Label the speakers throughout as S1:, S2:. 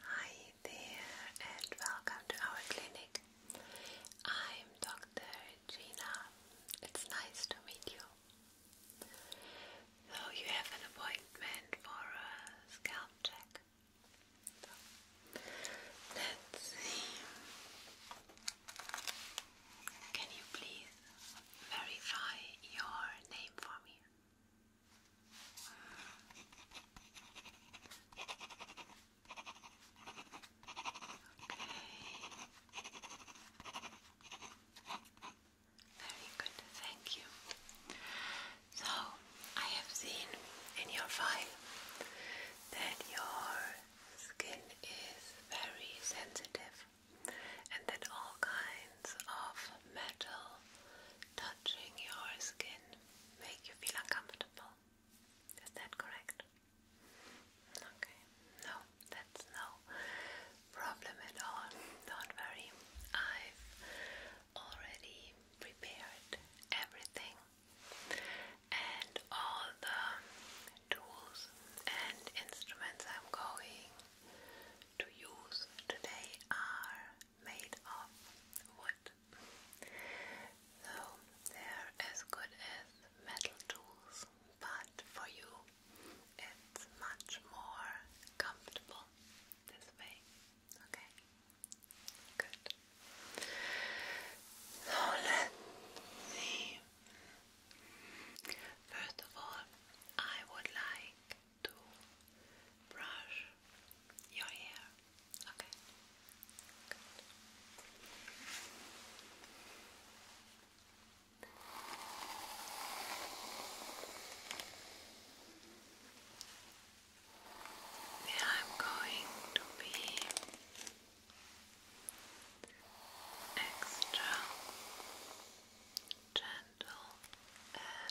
S1: Hi there and welcome to our clinic. I'm Dr. Gina. It's nice to meet you. So you have an appointment for a scalp check. let's see. Can you please verify your name for me? Very good, thank you. So, I have seen in your file that your skin is very sensitive and that all kinds of metal touching your skin make you feel uncomfortable. Is that correct? Okay, no, that's no problem at all. not worry, I've already prepared everything and all the tools and instruments I'm going to use today are made of wood. Though they're as good as metal tools, but for you it's much more comfortable this way. Okay? Good. So let's see. First of all, I would like to brush your hair. Okay. I'm going to be extra gentle and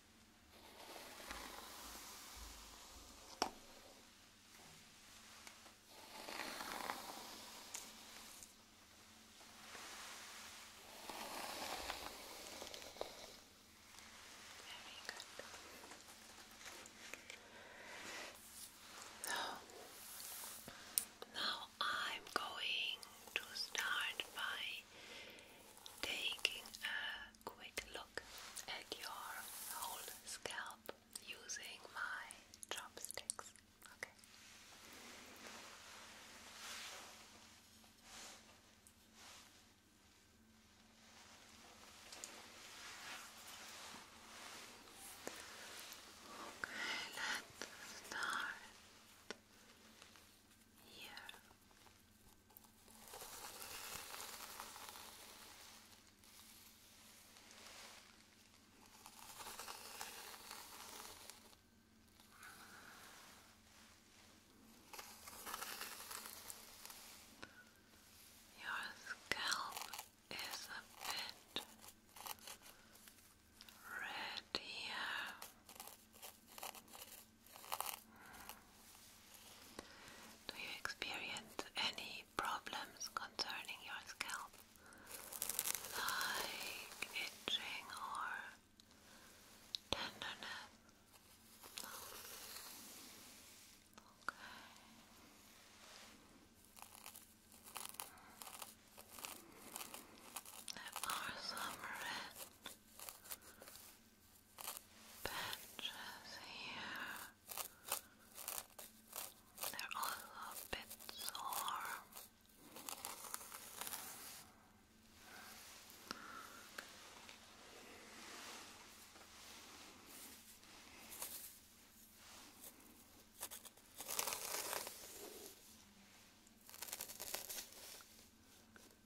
S1: Very good. So, now I'm going to start by taking a quick look at your whole scalp using my chopsticks. Okay. Okay, let's start here. Your scalp is a bit red here. Do you experience any problems concerning your scalp? Like itching or tenderness? Okay. There are some red patches here. They're also a bit sore. I think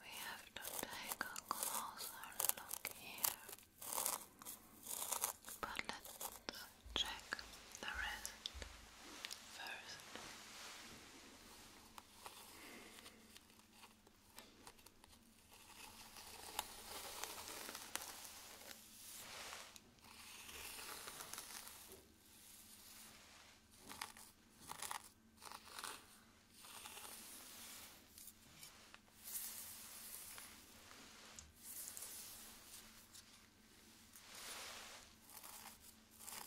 S1: we have to take a closer look here, but let's check the rest first. Now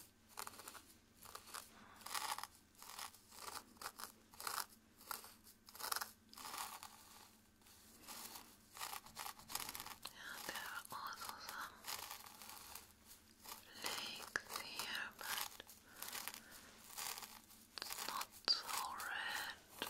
S1: yeah, there are also some flakes here, but it's not so red.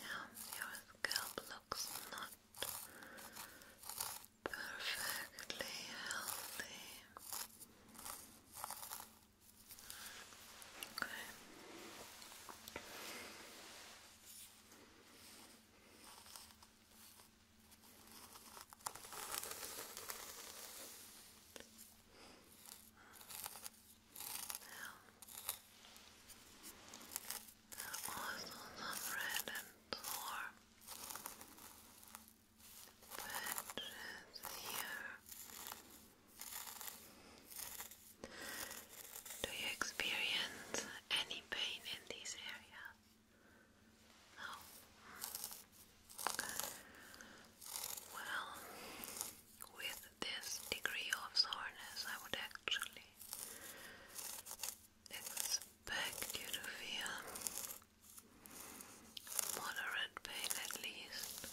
S1: Now your scalp looks not perfectly healthy. There are some red and warm patches here. Do you experience any pain in these areas? No. Well, with this degree of soreness, I would actually expect you to feel moderate pain at least.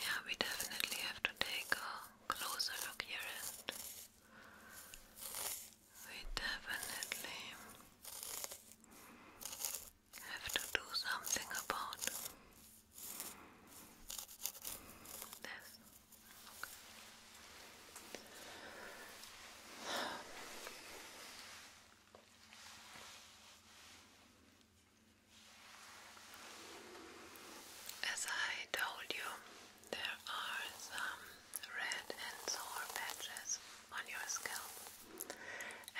S1: Yeah, we definitely have to take a closer look here and we definitely have to do something about this. As I told you, there are some red and sore patches on your scalp,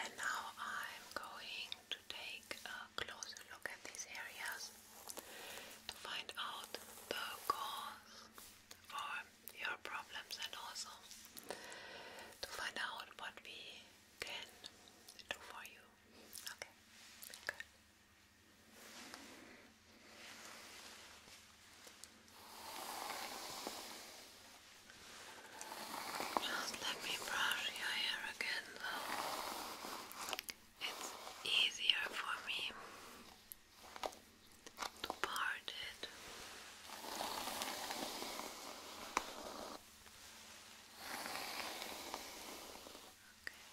S1: and now I'm going to take a closer look at these areas to find out the cause for your problems and also to find out what we can do for you. Okay, just let me brush your hair again, It's easier for me to part it. Okay.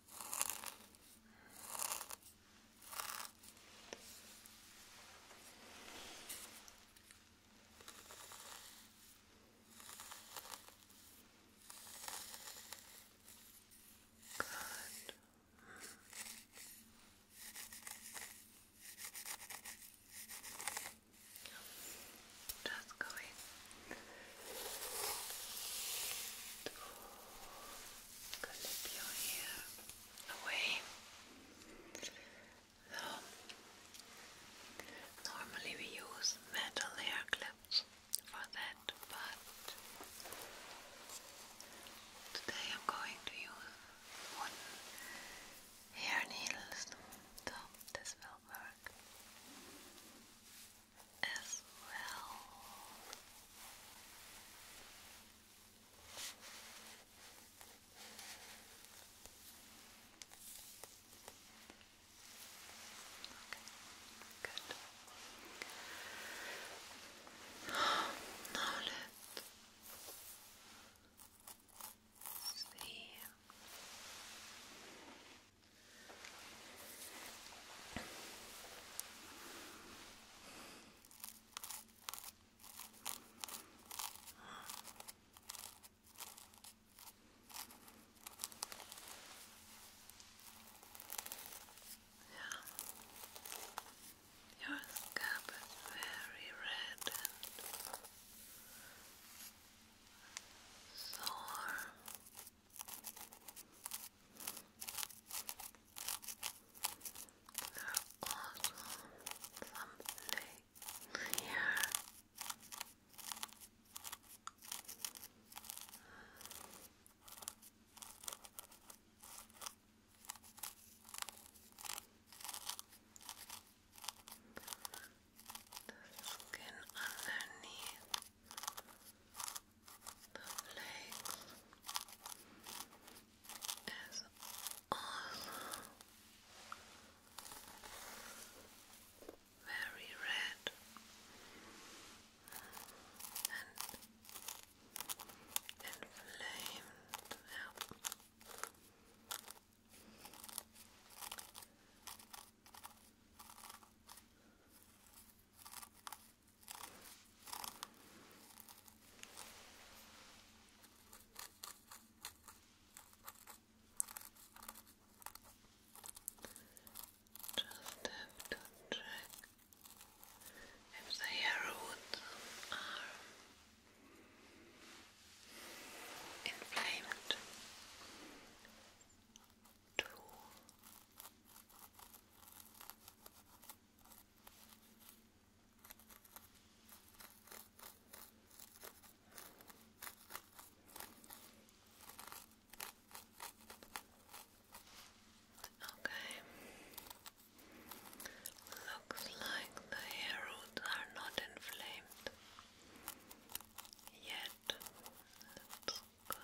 S1: Good. Just going through clip your hair away. normally we use metal hair clips for that, but today I'm going to use wooden hair needles, so this will work as well good now let see Okay. Yeah. Your scalp is very red and sore. There's also something The skin underneath the flakes is also very red and inflamed. Yeah. Just have to check if they are are inflamed Too Okay. Looks like the hair roots are not inflamed yet. That's good.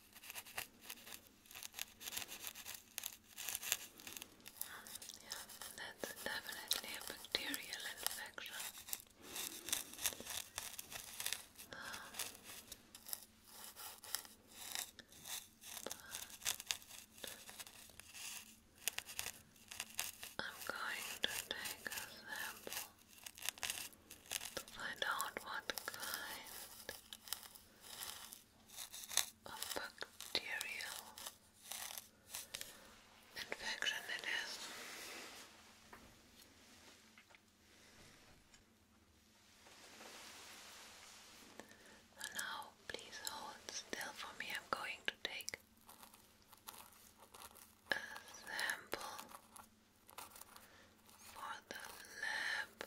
S1: Yeah, that's definitely a bacterial infection. I'm going to take a sample to find out what kind of bacterial infection it is. And now, please hold still for me. I'm going to take a sample for the lab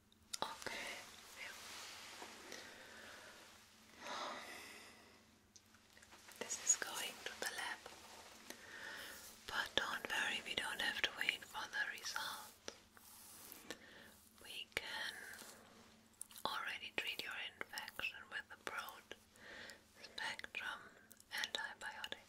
S1: Okay. This is going to the lab. But don't worry, we don't have to wait for the result. We can already treat your infection with a broad spectrum antibiotic.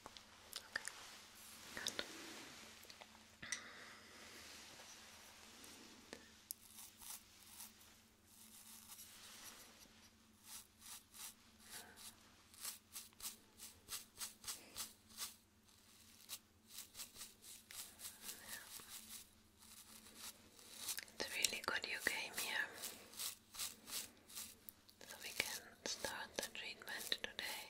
S1: It's really good you came here so we can start the treatment today.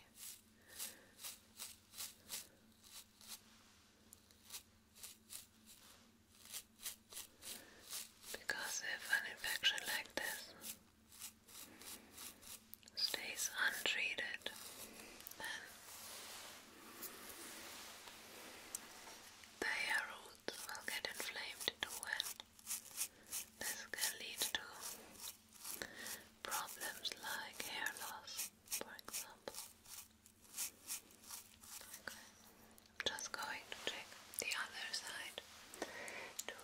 S1: Because if an infection like this stays untreated, then the hair roots will get inflamed too, this can lead to problems like hair loss, for example. Okay. I'm just going to check the other side to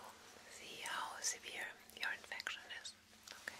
S1: see how severe your infection is. Okay.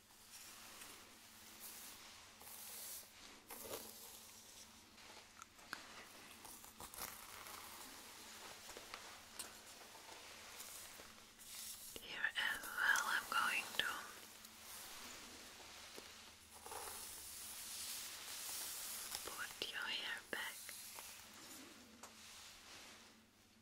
S1: Here as well, I'm going to put your hair back.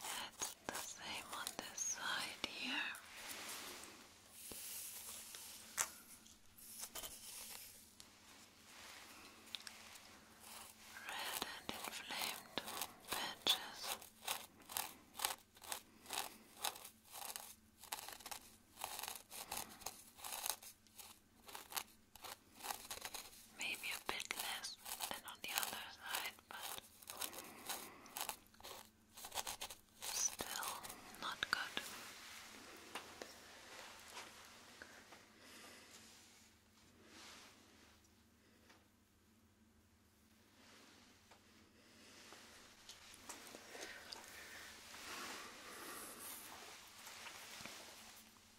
S1: It's the same on this side here. Red and inflamed patches. Maybe a bit less than on the other side, but still not good.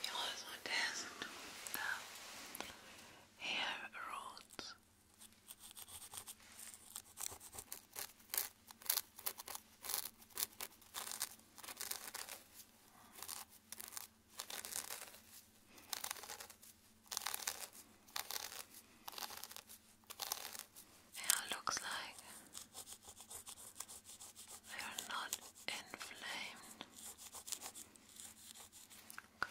S1: We also test the hair roots. Yeah, it looks like they are not inflamed. Good.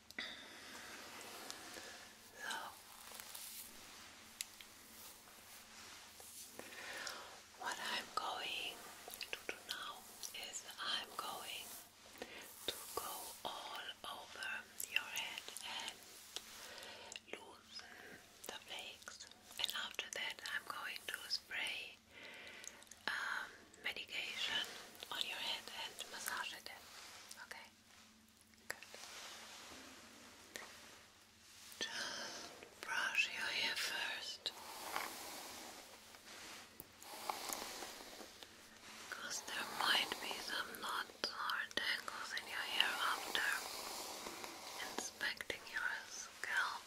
S1: So, what I'm going to do now is I'm going to go all over your head and loosen the flakes, and after that, I'm going to spray. Um, medication on your head and massage it in. Okay? Good. Just brush your hair first. Because there might be some knots or tangles in your hair after inspecting your scalp.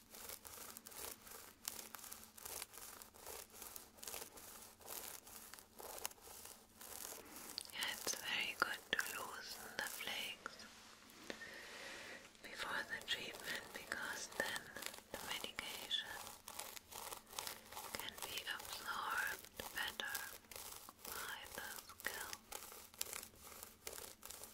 S1: Yeah, it's very good to loosen the flakes before the treatment because then the medication can be absorbed better by the scalp.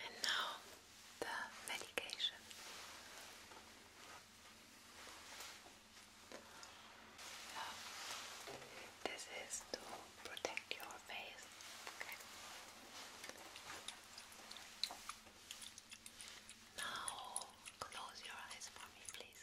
S1: And now the medication. this is to protect your face. Now close your eyes for me, please.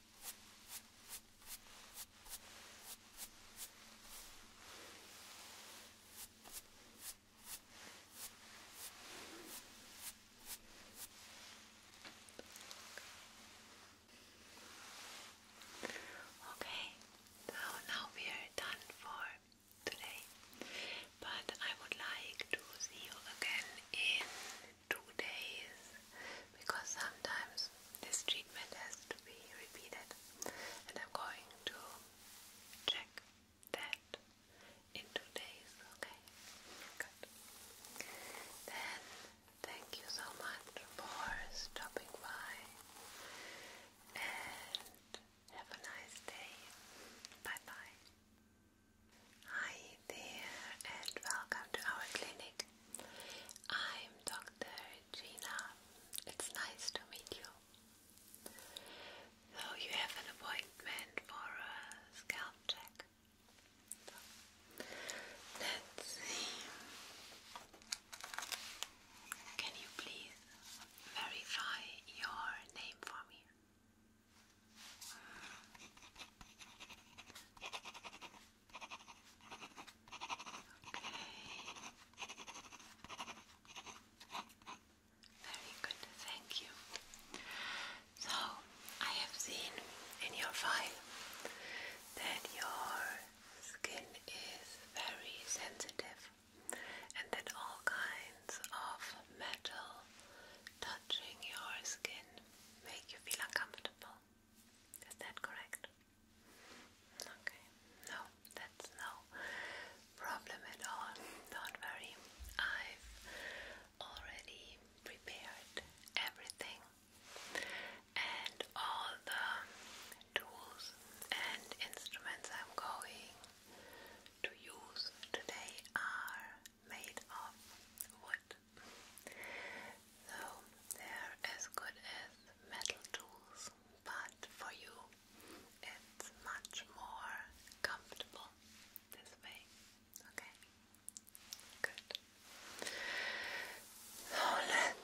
S1: Okay, so now we are done for today, but I would like to see you again in two days because sometimes this treatment has to be repeated, and I'm going to check that in two days. Okay, good. Then thank you so much for stopping by, and have a nice day. Bye bye. Hi there, and welcome to our clinic. I'm Dr. Gina. It's nice to meet you. So, you have an appointment for a scalp check. let's see. Can you please verify your name for me? Very good, thank you. So, I have seen in your file that your skin is very sensitive and that all kinds of metal touching your skin make you feel uncomfortable. Is that correct? Okay, no, that's no problem at all. Don't worry, I've already prepared everything and all the tools and instruments I'm going to use today are made of wood. So they're as good as metal tools but for you it's much more comfortable this way. Okay? Good. let's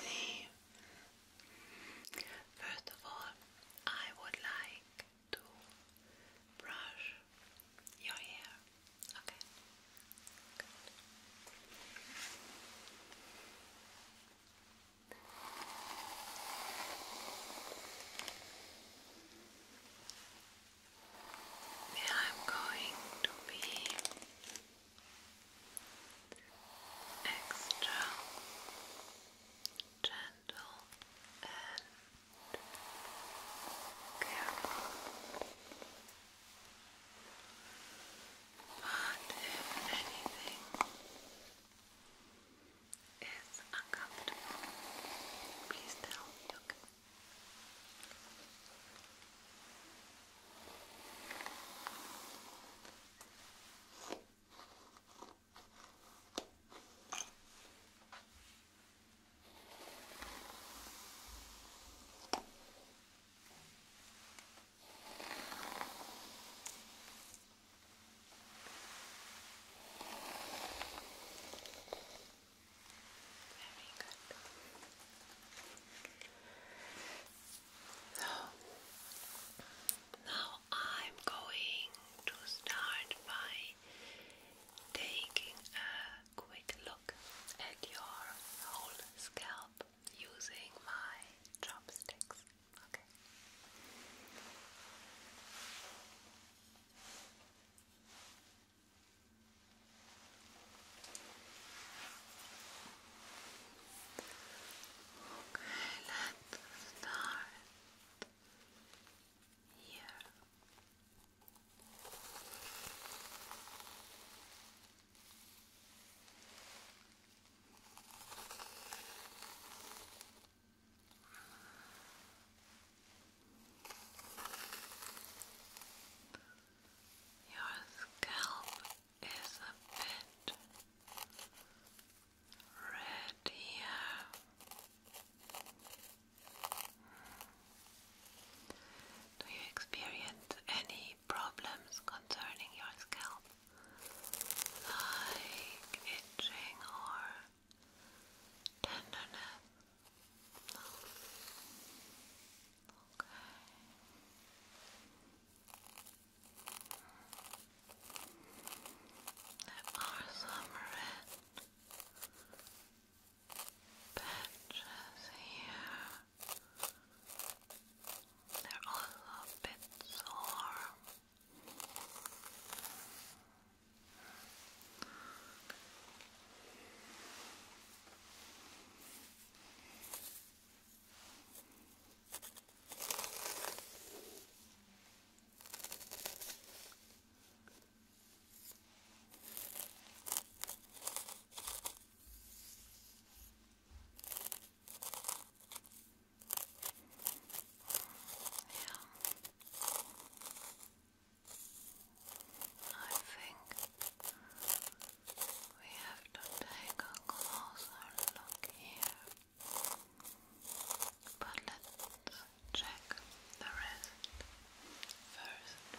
S1: see. First of all, I would like to brush your hair. Okay? Yeah, I'm going to be extra gentle and careful. But if anything is uncomfortable, please tell me, very good. now I'm going to start by taking a quick look at your whole scalp using my chopsticks. Okay. Okay, let's start here. Your scalp is a bit red here. Do you experience any problems concerning your scalp? like itching or tenderness? There are some red patches here. They're also a bit sore. Yeah. I think we have to take a closer look here. But let's check the rest first.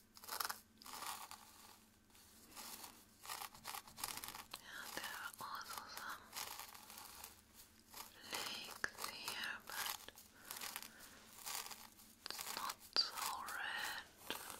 S1: Yeah, there are also here, but it's not so red. Okay.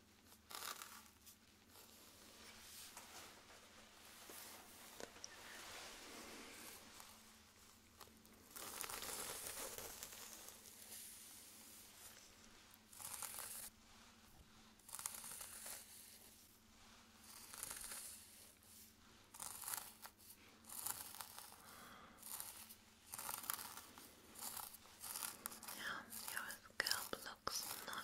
S1: Yeah, your scalp looks not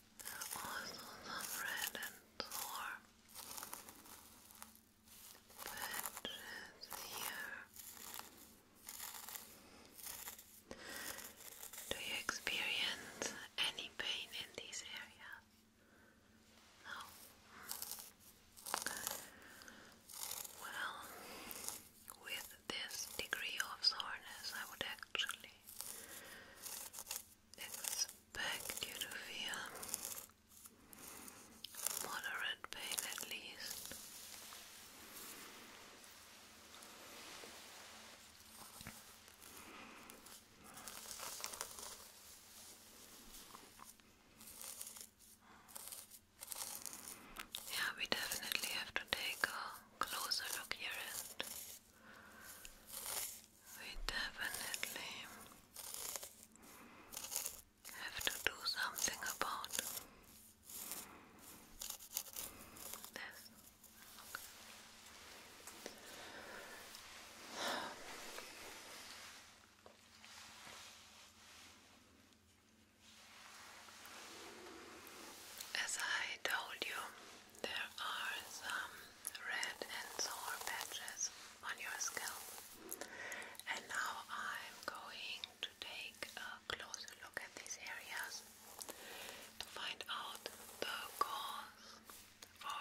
S1: also some red and warm patches here. Do you experience any pain in these areas? No. Well, with this degree of soreness, I would actually it's back due to fear. Moderate pain at least. Yeah, we definitely have to take a closer look here we definitely have to do something about this. As I told you, there are some red and sore patches on your skin, And now I'm going to take a closer look at these areas to find out the cause for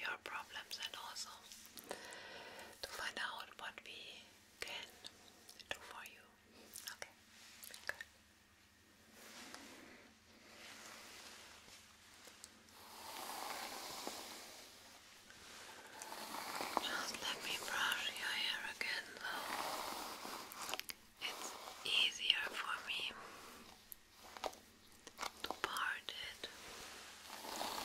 S1: your problems and also to find out what we can do for you. Okay, just let me brush your hair again, though. It's easier for me to part it. Okay.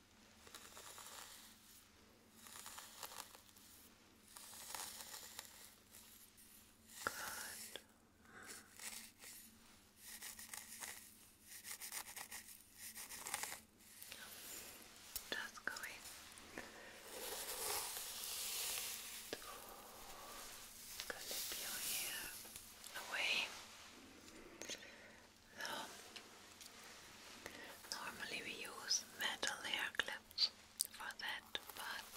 S1: Good. Just going to clip your hair away normally we use metal hair clips for that, but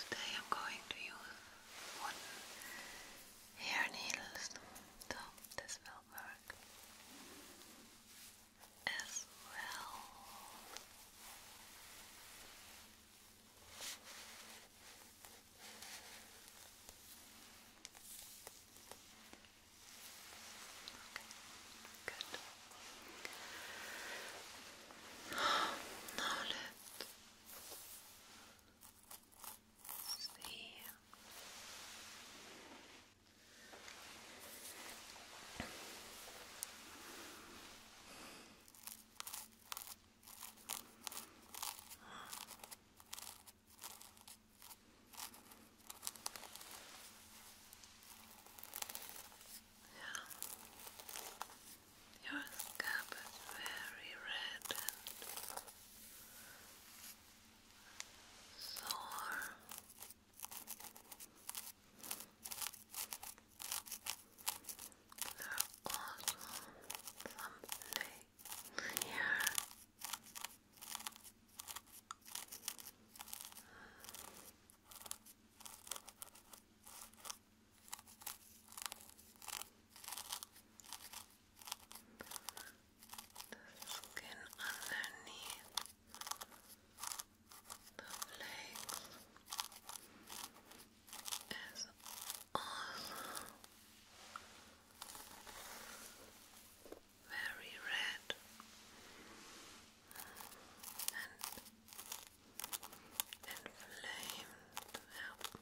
S1: today I'm going to use wooden hair needles, so this will work as well good now let's see Okay. Yeah. Your scalp is very red and sore. There are also some yeah. The skin underneath the legs is also very red and inflamed out.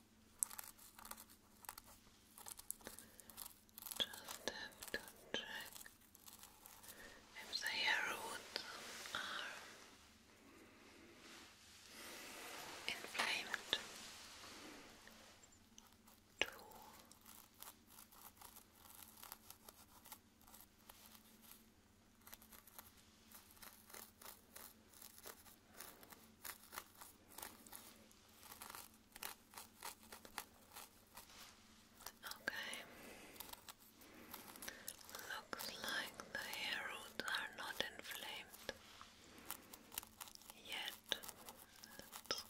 S1: Just have to check if the roots are inflamed too. Okay. Looks like the hair roots are not inflamed yet. That's good.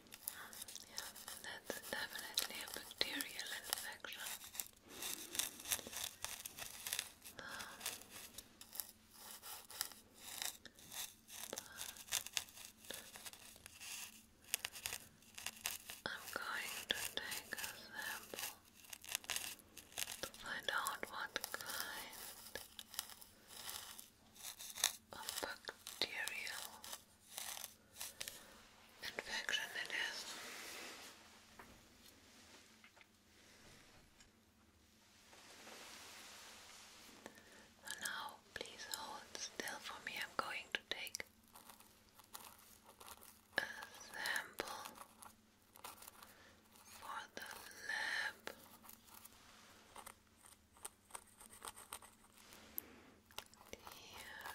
S1: that's definitely a bacterial infection. I'm going to take a sample to find out what kind of bacterial infection it is. So now, please hold still for me. I'm going to take a sample for the lab. Here.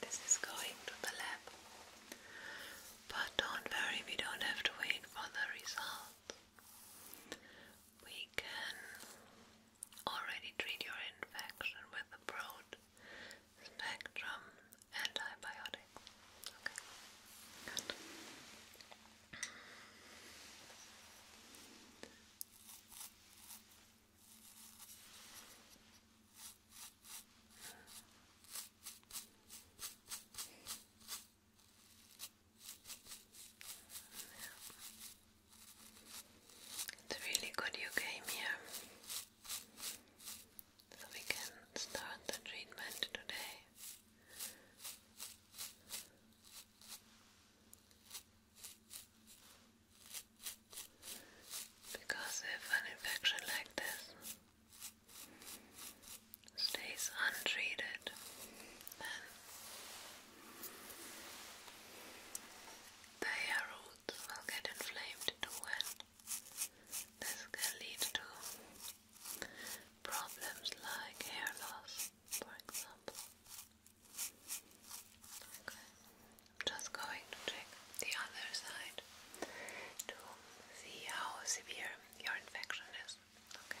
S1: This is going to the lab. But don't worry, we don't have to wait for the result. We can already treat your infection with a broad spectrum antibiotic. It's really good you came here so we can start the treatment today. Because if an infection like this stays untreated, then the hair roots will get inflamed too, this can lead to problems like hair loss, for example. I'm just going to check the other side to see how severe your infection is. Okay.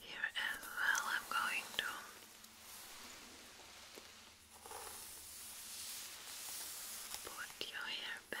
S1: Here as well, I'm going to put your hair back.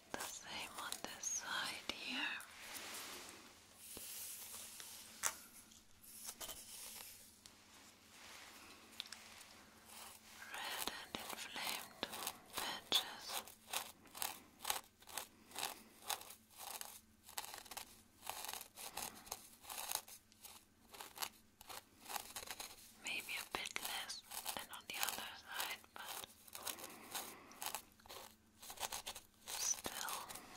S1: the same on this side here. Red and inflamed patches. Maybe a bit less than on the other side, but Still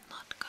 S1: not good.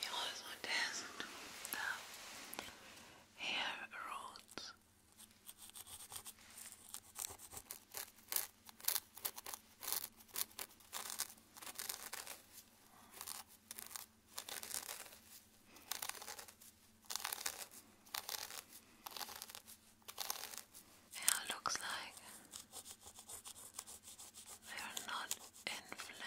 S1: He also tests the hair roots. Yeah, it looks like they are not inflamed.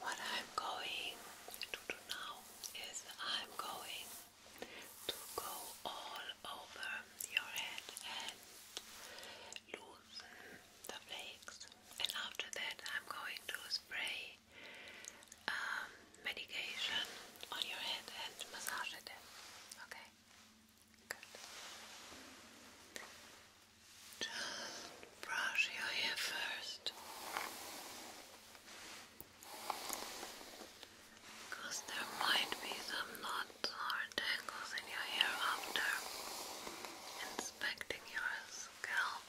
S1: What I'm going to do now is I'm going to go all over your head and loosen the flakes, and after that, I'm going to spray um, medication on your head and massage it in. Okay. Good. Just brush your hair first. Because there might be some knots or tangles in your hair after inspecting your scalp.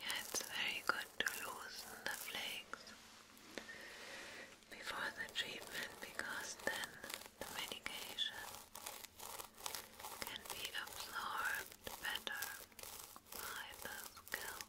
S1: Yeah, it's very good to loosen the flakes before the treatment because then the medication can be absorbed better by the scalp.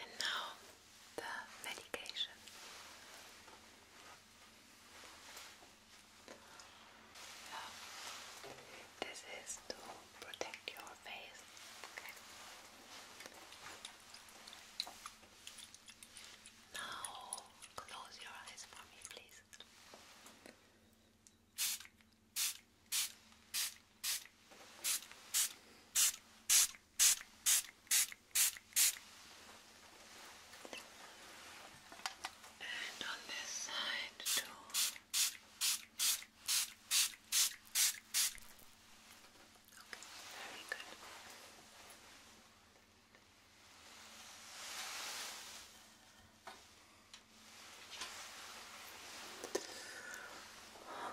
S1: And now the medication. This is to protect your face. Now close your eyes for me, please. And on this side too. Okay, very good.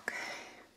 S1: Okay.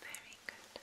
S1: Very good. Very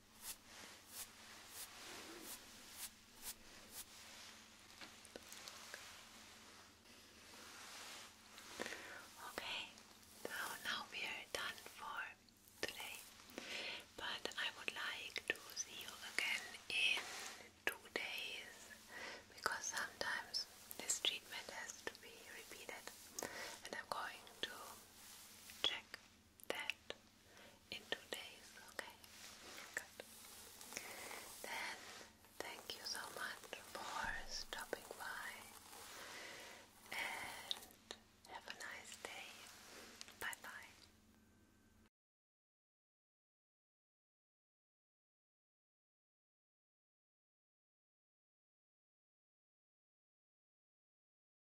S1: Okay, so now we are done for today, but I would like to see you again in two days because sometimes this treatment has to be repeated, and I'm going to check that in two days, okay? Then, thank you so much for stopping by and have a nice day. Bye bye.